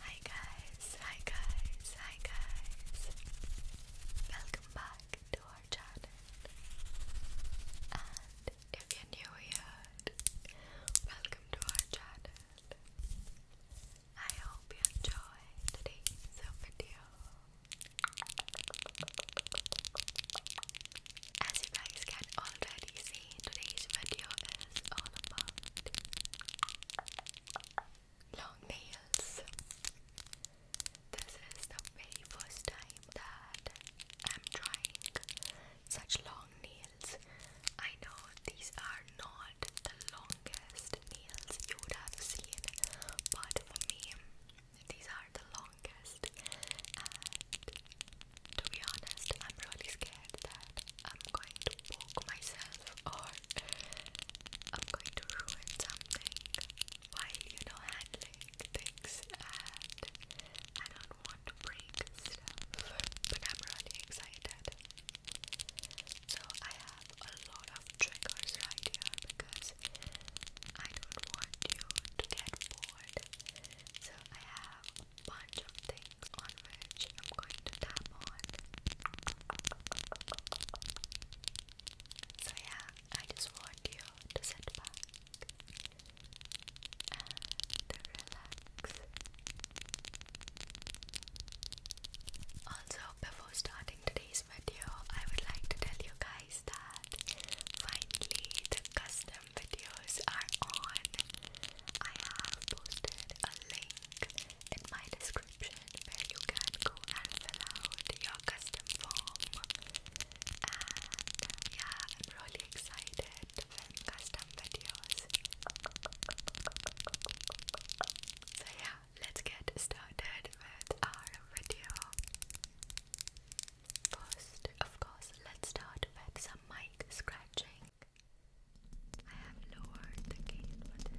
Hi guys, hi guys, hi guys. Welcome back to our channel. And if you're new here, welcome to our channel. I hope you enjoy today's video. As you guys can already see, today's video is all about long nails. This is the very first time that I'm trying such long nails. I know these are not the longest nails you have seen, but for me, these are the longest, to be honest, I'm really scared that I'm going to poke myself or I'm going to ruin something while you know handling things, and I don't want to break stuff, but I'm really excited. So I have a lot of triggers right here because I don't want you to get bored. So I have a bunch of things on which I'm going to tap on. So yeah, I just want you to sit back and relax. Also, before starting today's today's I would like to tell you guys that finally custom videos are on. I have posted a link in my description where you can go and fill your custom form. And yeah, I'm really excited for custom videos. So yeah, let's get started with our video. First, of course, let's start with some mic scratching. I have lowered the gain for this.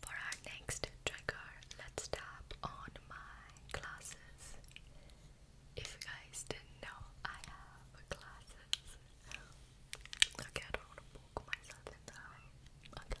For our next trigger, let's tap on my glasses. If you guys didn't know, I have glasses. Okay, I don't want to poke myself in the eye. Okay.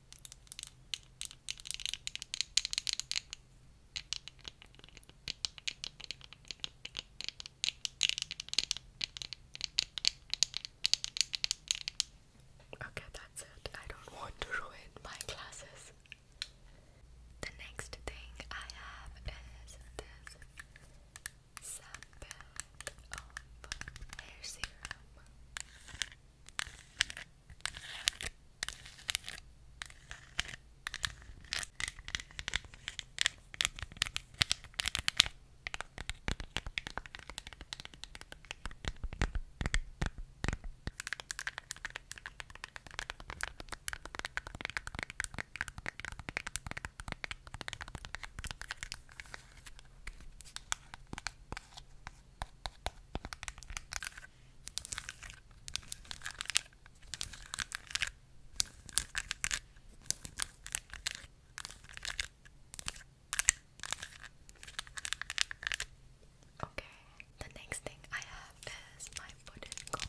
Okay, that's it. I don't want to ruin my classes. The next thing I have is this sample of hair serum. Okay, the next thing I have is my wooden comb.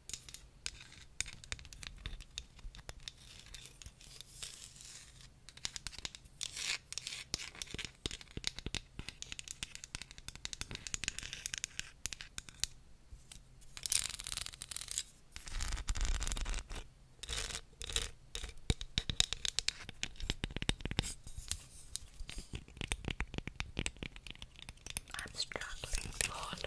I'm struggling to hold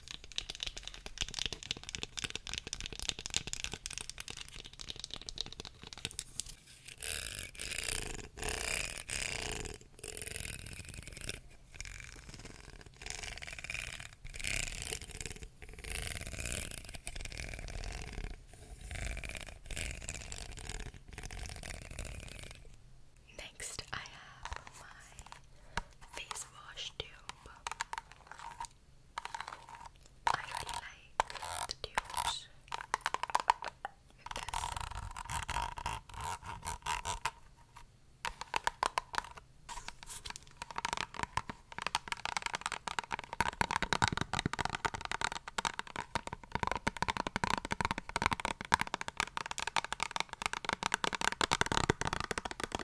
Next, I have my face wash duo I really like the dudes with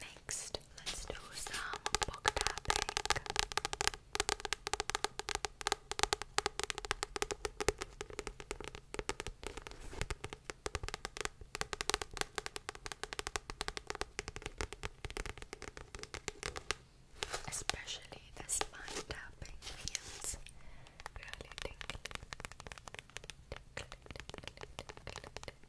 Next, let's do some book tapping. Especially the spine tapping feels really tickly,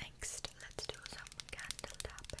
Next, let's do some candle tapping.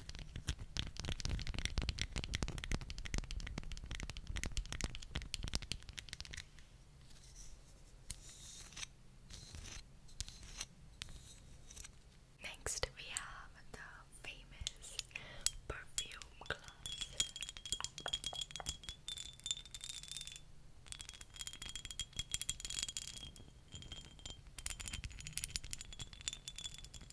Next, we have the famous perfume glass.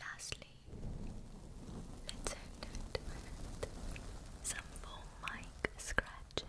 Lastly, let's end with some foam mic scratching.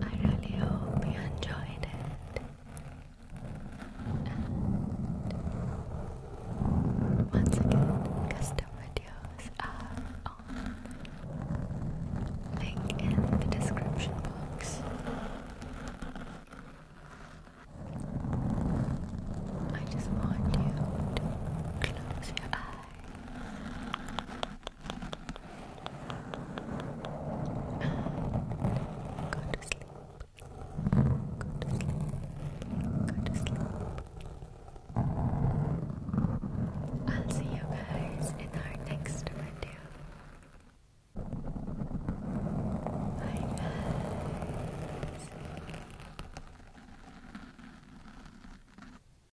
I really hope you enjoyed it. once again, custom videos are on. Link in the description box. I just want you to close your eyes. Go to sleep. Go to sleep. Go to sleep. I'll see you guys in our next video. Bye guys.